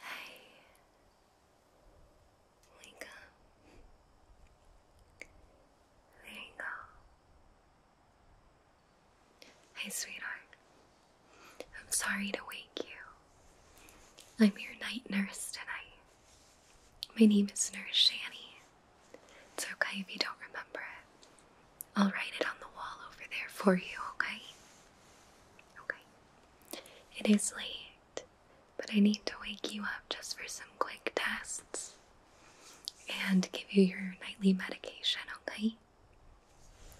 Hi. Wake up. There you go. Hey, sweetheart. I'm sorry to wake you. I'm your night nurse tonight. My name is Nurse Shani. It's okay if you don't remember it. I'll write it on the wall over there for you, okay? Okay. It is late, but I need to wake you up just for some quick tests and give you your nightly medication, okay?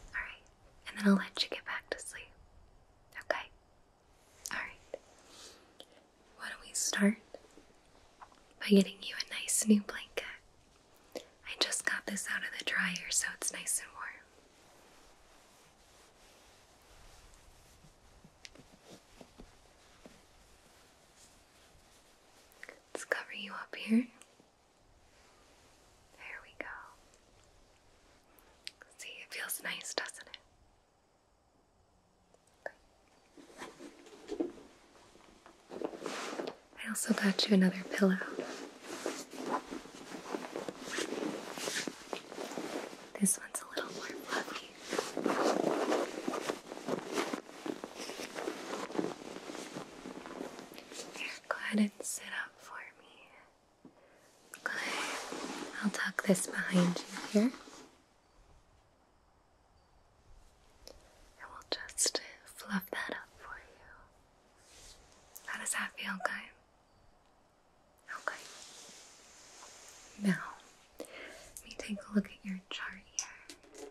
Alright, and then I'll let you get back to sleep. Okay? Alright. Why don't we start by getting you a nice new blanket? I just got this out of the dryer, so it's nice and warm. Let's cover you up here. There we go. See, it feels nice, doesn't it? I also got you another pillow. This one's a little more fluffy. Here, go ahead and sit up for me. Good. I'll tuck this behind you here. And we'll just fluff that up for you. How does that feel, guy? Okay. Now, let me take a look at your chart here.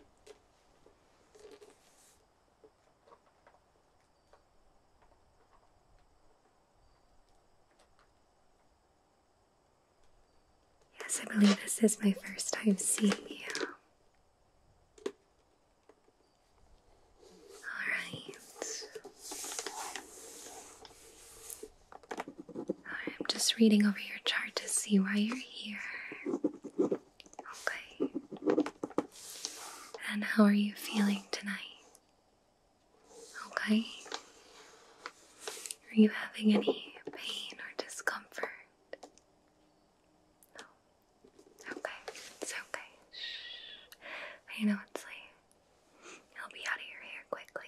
Yes, I believe this is my first time seeing you. Alright. I'm just reading over your chart to see why you're here. Okay. And how are you feeling tonight? Okay. Are you having any pain or discomfort? No. Okay, it's okay. Shh. I know it's late. I'll be out of your hair quickly,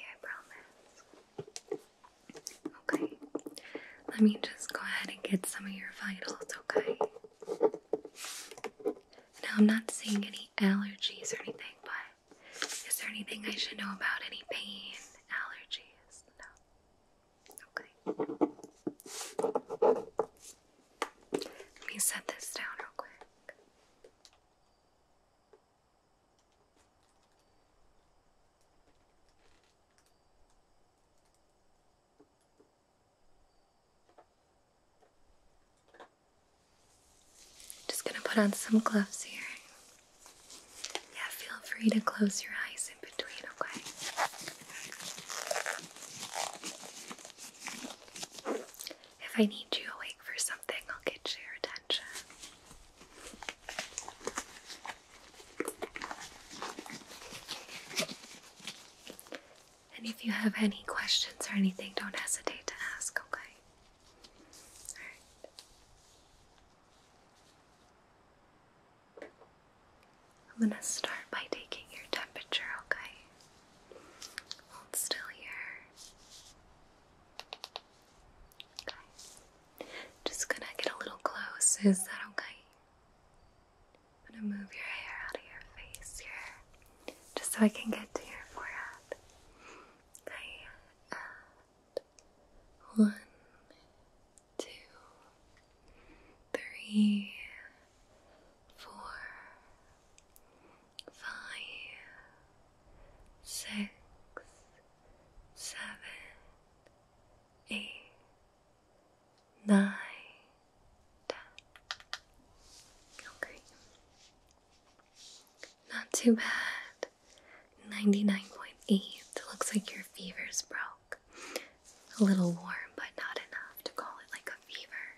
I promise. Okay, let me just go ahead and get some of your vitals, okay? Now, I'm not seeing any allergies or anything, but is there anything I should know about? Any pain, allergies? No? Okay. Let me set this down real quick. Just gonna put on some gloves here. Yeah, feel free to close your eyes in between, okay? If I need you awake for something, I'll get your attention. And if you have any questions or anything, don't hesitate to ask, okay? I'm gonna start by taking your temperature, okay? still here. Just gonna get a little close, is that okay? gonna move your hair out of your face here, just so I can get to your forehead. Okay, one, two, three, four, five, six, seven, eight, nine, ten. Okay. Not too bad. 99.8. Looks like your fever's broke. A little warm, but not enough to call it like a fever.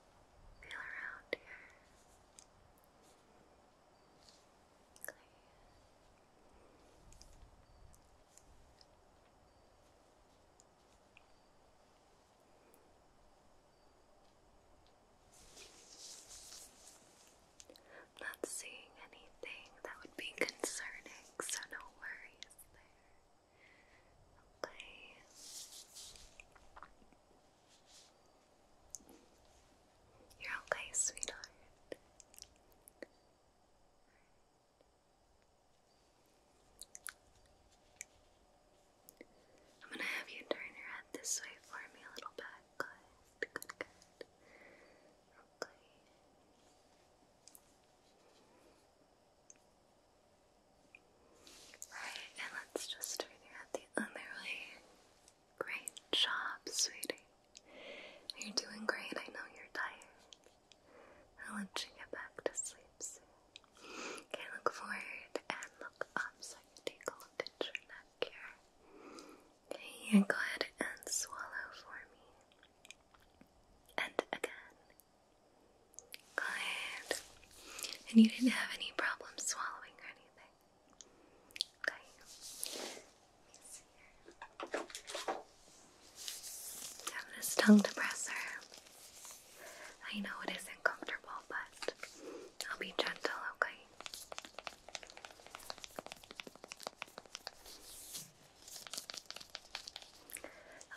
feel around here. Okay. I'm not seeing anything that would be concerning, so no worries there. Okay. You're okay, sweetheart. I'm gonna have you turn your head this way for me a little bit. Right, and let's just figure out the other way. Great job, sweetie. You're doing great. I know you're tired. I'll let you get back to sleep soon. Okay, look forward and look up so I can take a look at your neck here. Okay, and go ahead and swallow for me. And again. Good. And you didn't have any problems swallowing or anything? Okay. Let Have this tongue depressor. I know it isn't but I'll be gentle, okay?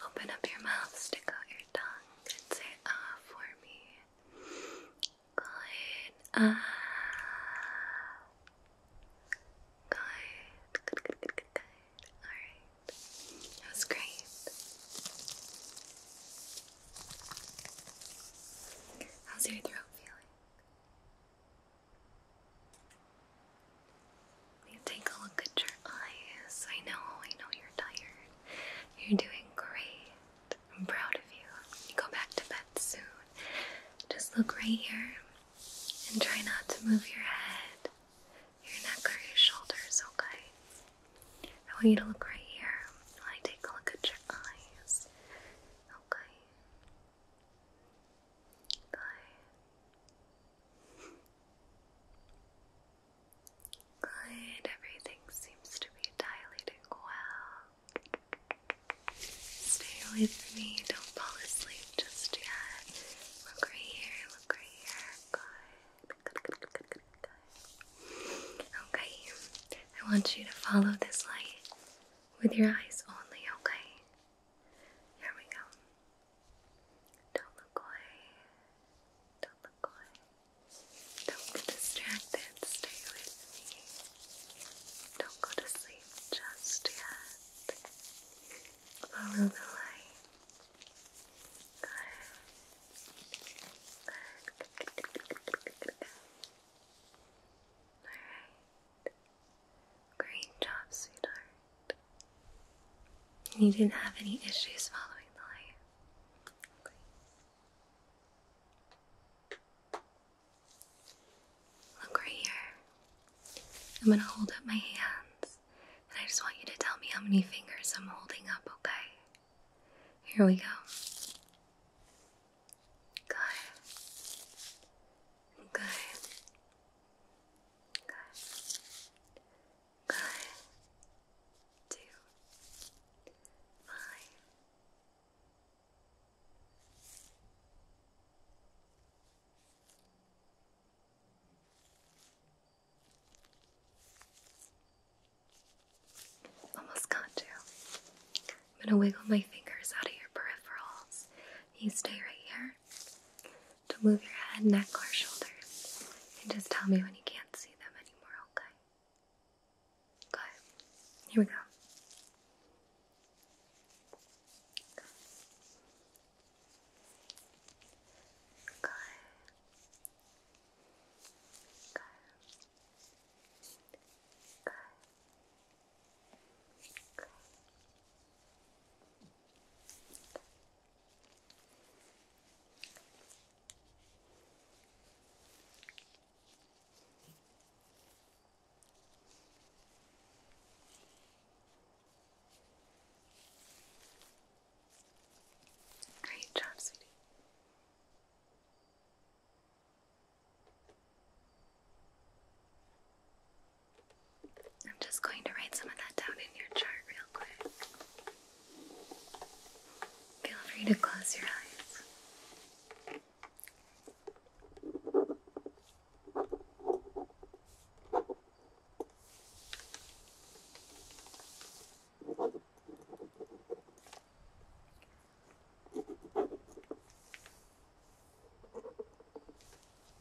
Open up your mouth, stick out your your tongue say ah uh, for me. Good. Ah. Good. Good, good, good, good, good. Alright. That was great. How's your throat feeling? Let me take a look at your eyes. I know, I know you're tired. You're doing great. I'm proud of you. You go back to bed soon. Just look right here and try not to move your head, your neck, or your shoulders, okay? I want you to look right here while I take a look at your eyes. Okay. Good. Good, everything seems to be dilating well. Stay with me, don't fall asleep just yet. Look right here, look right here. Good, Okay, I want you to follow this light with your eyes only, okay? Here we go. Don't look away. Don't look away. Don't get distracted. Stay with me. Don't go to sleep just yet. Follow the light. Good. Alright. Great job, sweetheart. And you didn't have any issues following the light. Look right here. I'm going to hold up my hands, and I just want you to tell me how many fingers I'm holding up, okay? Here we go. Good. Good. Good nine, two, five. Almost got you. I'm gonna wiggle my fingers out of your peripherals. You stay right here to move your head, neck, or shoulders. And just tell me when you can't see them anymore, okay? Okay, here we go. Okay. Okay. Okay. Okay. Great job, sweetie. I'm just going to write some of that down in your chart real quick. Feel free to close your eyes.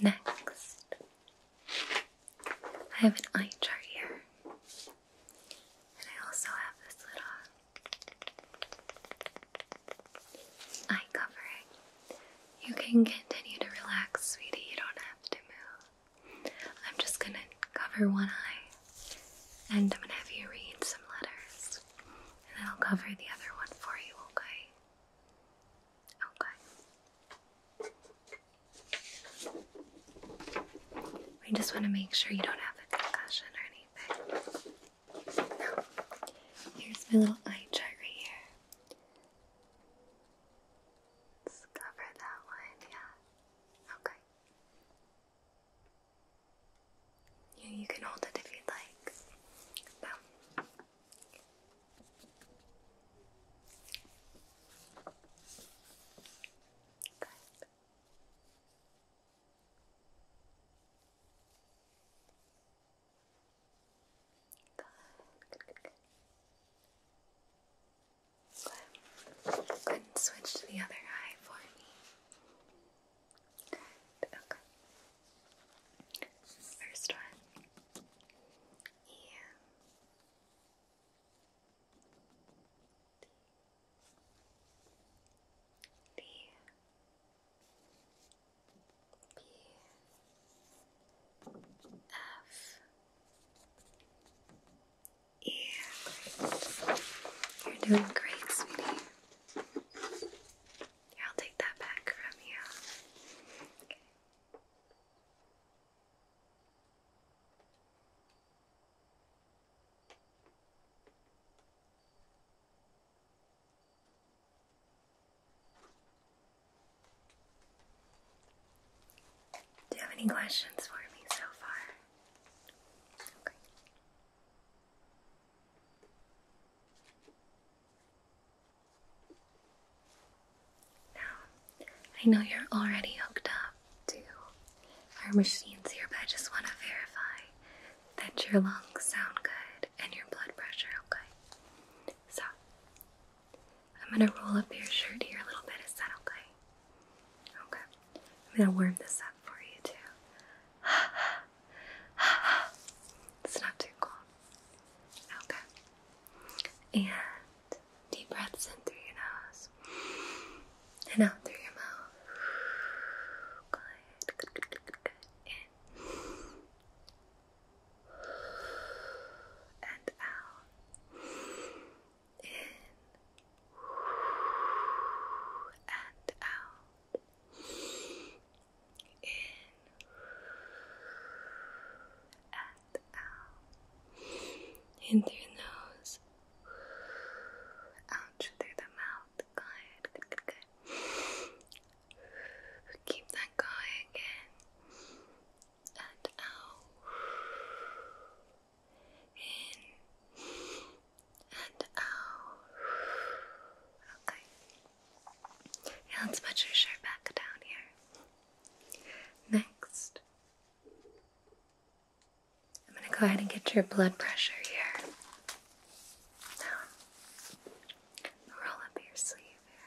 Next, I have an eye chart here, and I also have this little eye covering. You can continue to relax, sweetie. You don't have to move. I'm just gonna cover one eye and I'm gonna have you read some letters, and then I'll cover the other one for you, okay? Okay. We just want to make sure you don't have a concussion or anything. Now, here's my little eye chart right here. Let's cover that one, yeah. Okay. Yeah, you can hold it if you'd like. Good, good, good, good. Good. Go switch to the other eye for me. okay. First one. Yeah. Yeah. You're doing great, sweetie. Here, I'll take that back from you. Do you have any questions for me so far? Okay. Now, I know you're already hooked up to our machines here, but I just want to verify that your lungs sound good and your blood pressure okay. So, I'm going to roll up your shirt here a little bit. Is that okay? Okay. I'm gonna warm this up for you too. it's not too cold. Okay. And deep breaths in through your nose and out through your mouth. Good, good, In and out in and out, in and out, in through your nose, out through the mouth. Good, good, good, good. Keep that going in and out in and out. Oh, okay. let's put your back down here. Next, I'm going to go ahead and get your blood pressure here. Now, roll up your sleeve here.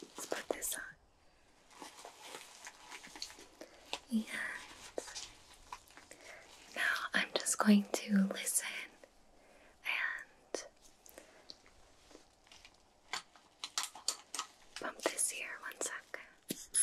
Let's put this on. And now I'm just going to listen and bump this here one sec.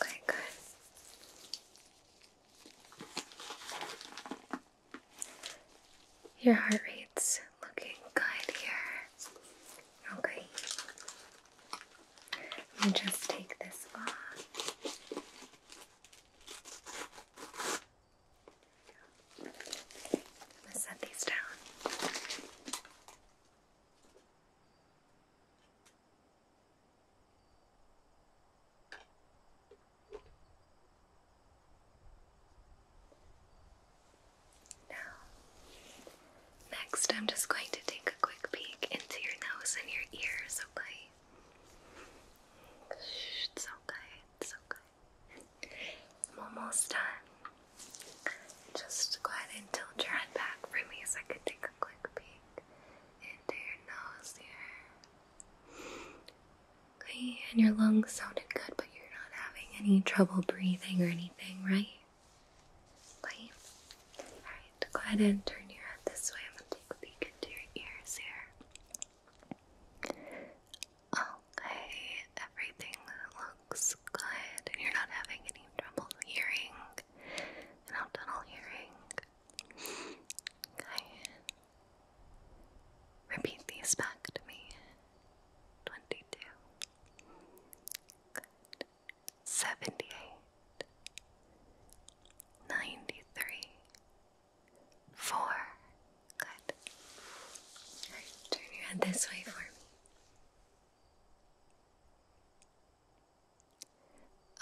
Okay, good. Your heart rate's looking good here. Okay. Let me just take this off. I'm going to set these down. Now, next, I'm just going to take a quick peek into your nose and your ears, okay? It's okay, it's okay. I'm almost done. Just go ahead and tilt your head back for me so I can take a quick peek into your nose here. Okay, and your lungs sounded good, but you're not having any trouble breathing or anything, right? Okay. Alright, go ahead and turn your head this way. I'm gonna take a peek into your ears here. Okay, everything looks good, you're not having any trouble hearing, nocturnal hearing. Okay. Repeat these back to me. 22. Four. Good. turn your head this way for me.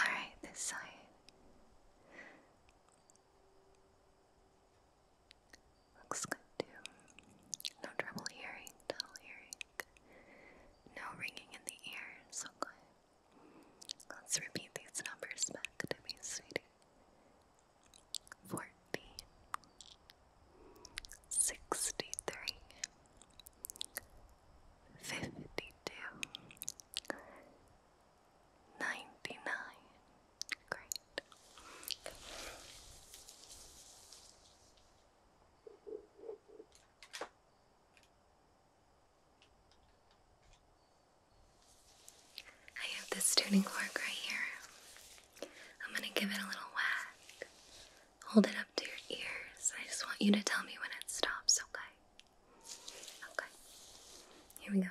Alright, this side. Looks good too. No trouble hearing, dull hearing. No ringing in the ears, okay. Let's repeat these numbers back to me, sweetie forty, sixty three, fifty two, ninety nine. Great. Okay. I have this tuning fork right here. I'm gonna give it a little whack. Hold it up to your ears. I just want you to tell me when it stops, okay? Okay. Here we go.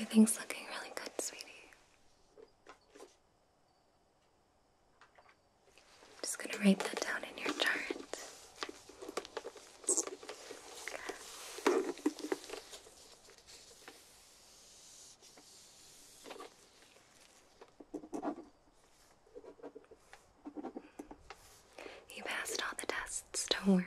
Everything's looking really good, sweetie. I'm just going to write that down in your chart. You passed all the tests, don't worry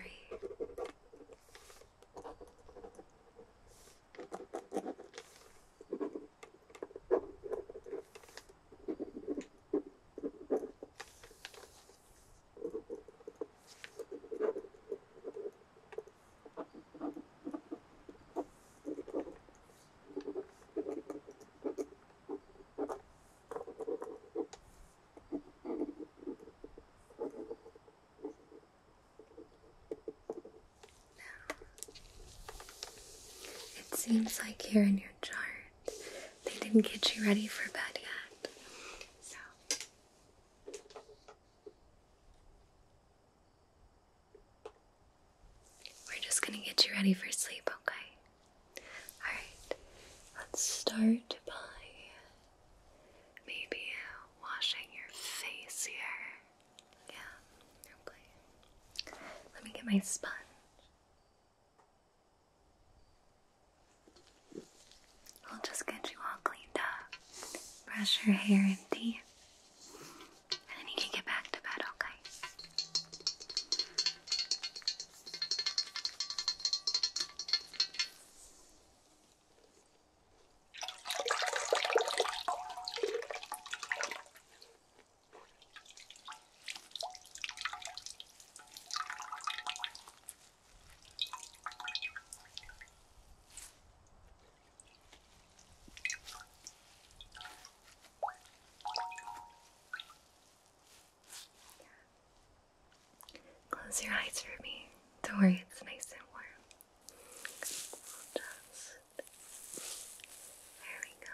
it seems like you're in your jar they didn't get you ready for bed yet. So. We're just going to get you ready for sleep, okay? Alright, let's start by maybe washing your face here. Yeah, okay. Let me get my sponge. I'll just get you all cleaned up, brush your hair and teeth, and then you can get back to bed, okay? Close your eyes for me. Don't worry, it's nice and warm. there we go.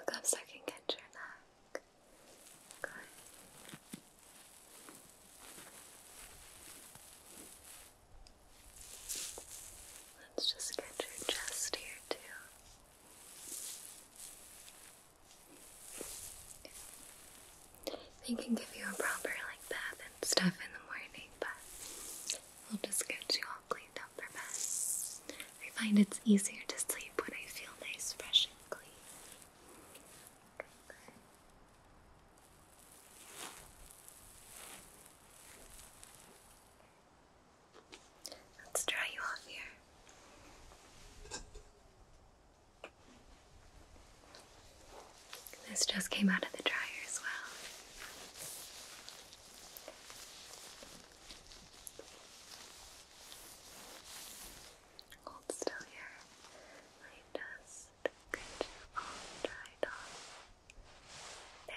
Look up so I can get your neck. Let's just get your chest here too. They can give you a proper like bath and stuff in the morning, but we'll just get you all cleaned up for bed. I find it's easier to sleep when I feel nice, fresh, and clean. Let's dry you off here. This just came out of the dryer as well. Hold still here. Light dust. Good. All dried off. There.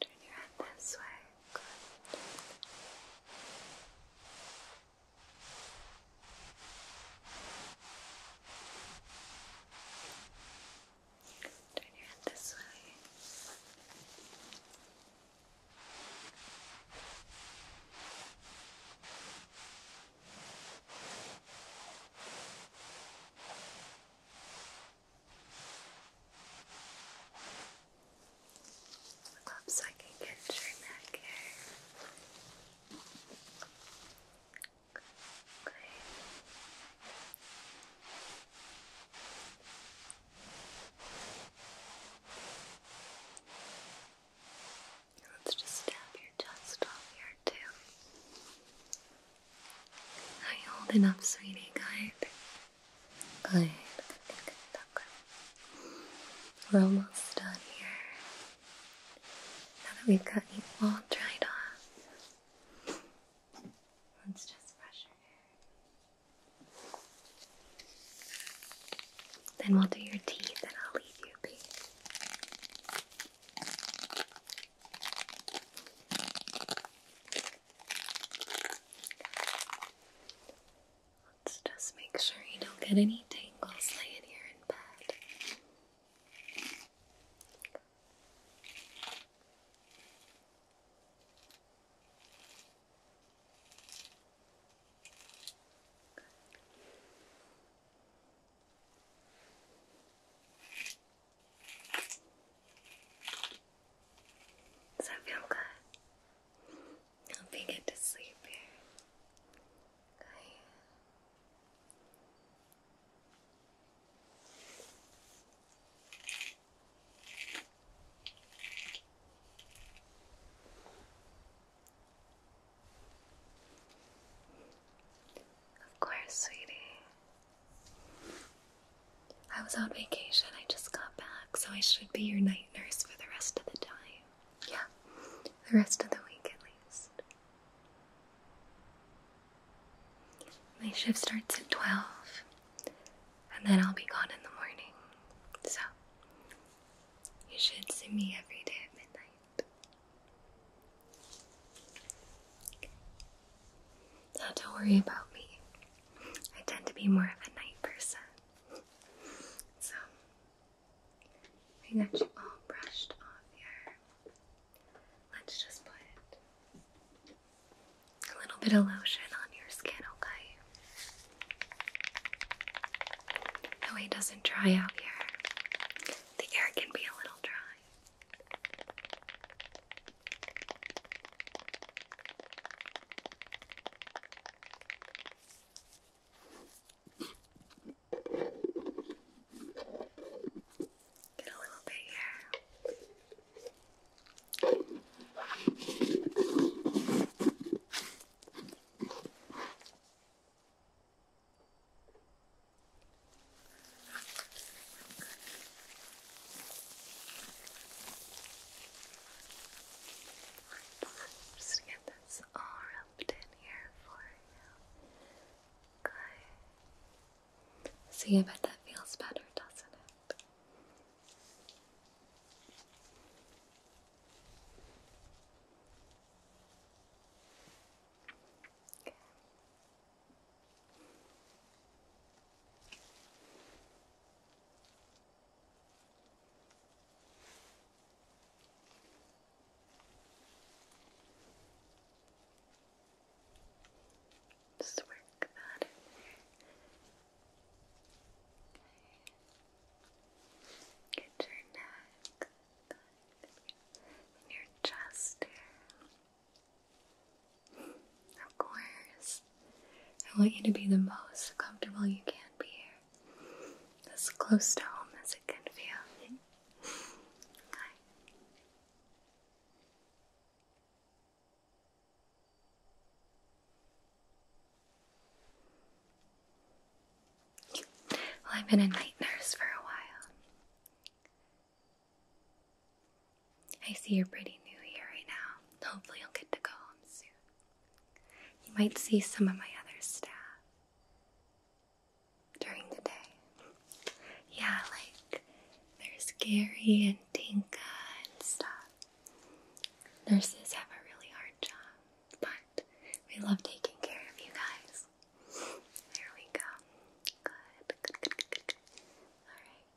Turn your head this way. Good. Turn your head this way. Good. Perhaps I can get your neck here. Let's just tap your chest off here too. Are you holding up, sweetie? Good. Good. Good. Good. Good. We're almost done here. Now that we've got you all dried off, let's just brush your hair. Then we'll do your teeth and I'll leave you be. Let's just make sure you don't get any tangles laying here in bed. Does that feel good? I hope you get to sleep here. Of course, sweetie. I was on vacation, I just got back, so I should be your night nurse for the rest of the time. Yeah, the rest of the week at least. My shift starts at 12, and then I'll be gone in the morning. So, you should see me every day at midnight don't worry about me. I tend to be more of a night person. So, I got you all brushed off here. Let's just put a little bit of lotion on your skin, okay? That way it doesn't dry out here. The air can be a little dry. Get a little bit here just get this all rubbed in here for you. See, I bet that feels better, doesn't it? Just work that in Get your neck, your chest of course. I want you to be the most comfortable you can be here. As close to home as it can feel. Okay. Well, I've been a night nurse for a while. I see you're pretty new here right now. Hopefully, you'll get to go home soon. You might see some of my other staff during the day. Yeah, like there's Gary and Tinka and stuff. Nurses have a really hard job, but we love taking care of you guys. There we go. Good, Alright.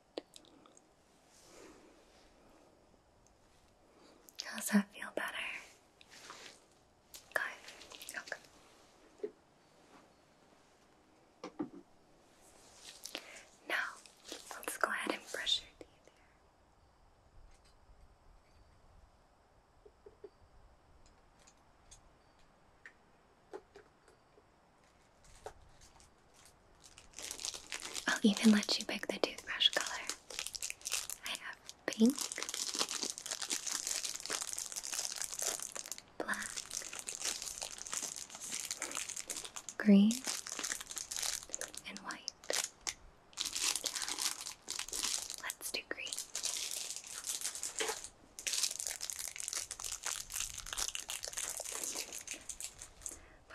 How's that feel better? Good. Okay. Now, let's go ahead and brush your teeth I'll even let you pick the toothbrush color. I have pink, black, green, and white. Let's do green.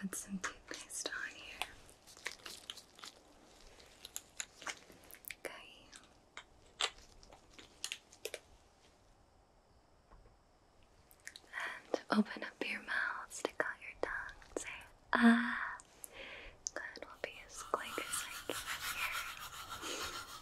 Put some toothpaste on here. Okay. And open up your mouth, stick out your tongue, say ah. Good, we'll be as quick as I can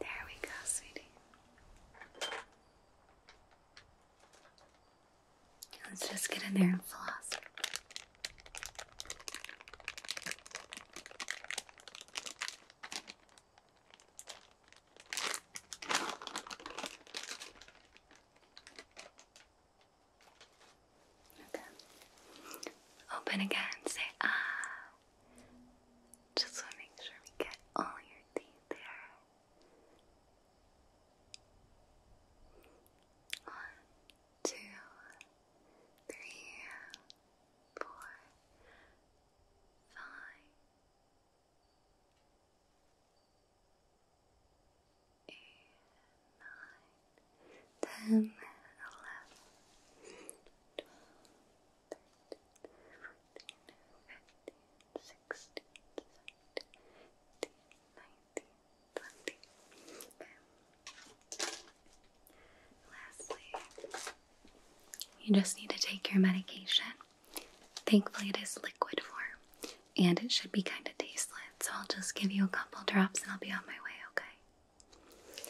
There we go, sweetie. Let's just get in there and floss. Open again. Say ah. Just to make sure we get all your teeth there. One, two, three, four, five, eight, nine, ten, eleven, twelve, thirteen, fourteen, fifteen, sixteen, seventeen, eighteen, nineteen, twenty. Okay. Lastly, you just need to take your medication. Thankfully, it is liquid form and it should be kind of tasteless, so I'll just give you a couple drops and I'll be on my way, okay?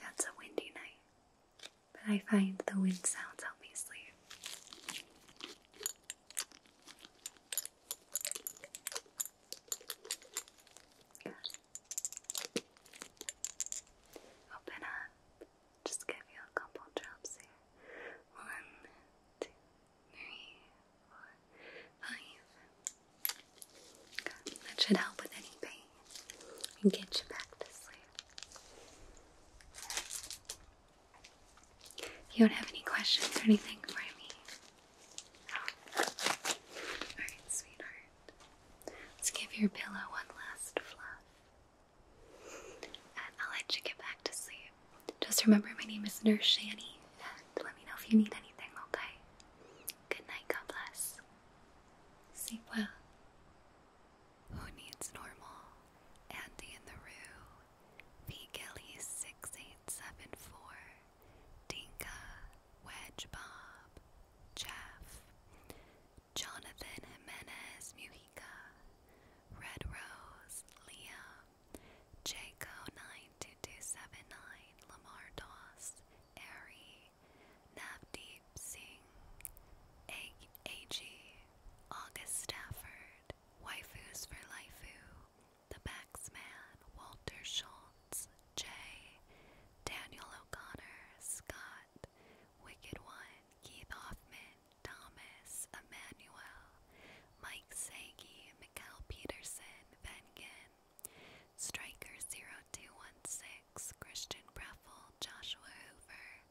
Yeah, it's a windy night, but I find the wind sounds help me sleep. Open up. Just give you a couple drops here. One, two, three, four, five. That should help with any pain and get you back to sleep. You don't have any questions or anything for me? Oh. Alright, sweetheart. Let's give your pillow one last fluff. And I'll let you get back to sleep. Just remember my name is Nurse Shani, and let me know if you need anything, okay? Good night, God bless. Sleep well. Who needs normal? Andy in the Roo V. Gilly 6874, Dinka, Wedge Bob, Jeff, Jonathan Jimenez Mujica, Red Rose, Liam, Jaco92279, Lamar Doss, Ari, Navdeep Singh, A.G., August Stafford, Waifus for Laifu, the Baxman, Walter Schultz, J, Daniel O'Connor, Scott, Wicked One, Keith Hoffman, Thomas, Emmanuel, Mike Sagi, Mikkel Peterson, Vengen, Striker0216, Christian Breffel, Joshua Hoover,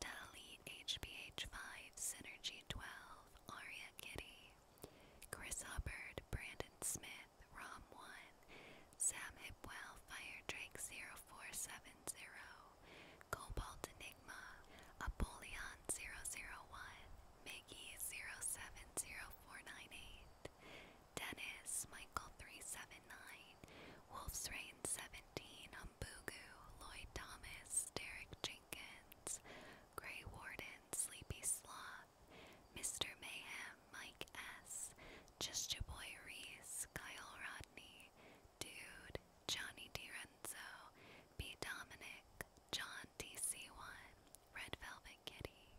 Delete HBH5, Synergy12, Aria Kitty, Chris Hubbard, Brandon Smith, Rom One, Sam Hipwell, Fire Drake 0470, Cobalt Enigma, Apollyon 001, Miggy 070498, Dennis, Michael 379, Wolf's Rain 17, Umbugu, Lloyd Thomas, Derek J. Grey Warden, Sleepy Sloth, Mr. Mayhem, Mike S, Just Your Boy Reese, Kyle Rodney, Dude, Johnny DiRenzo, B. Dominic, John DC1, Red Velvet Kitty.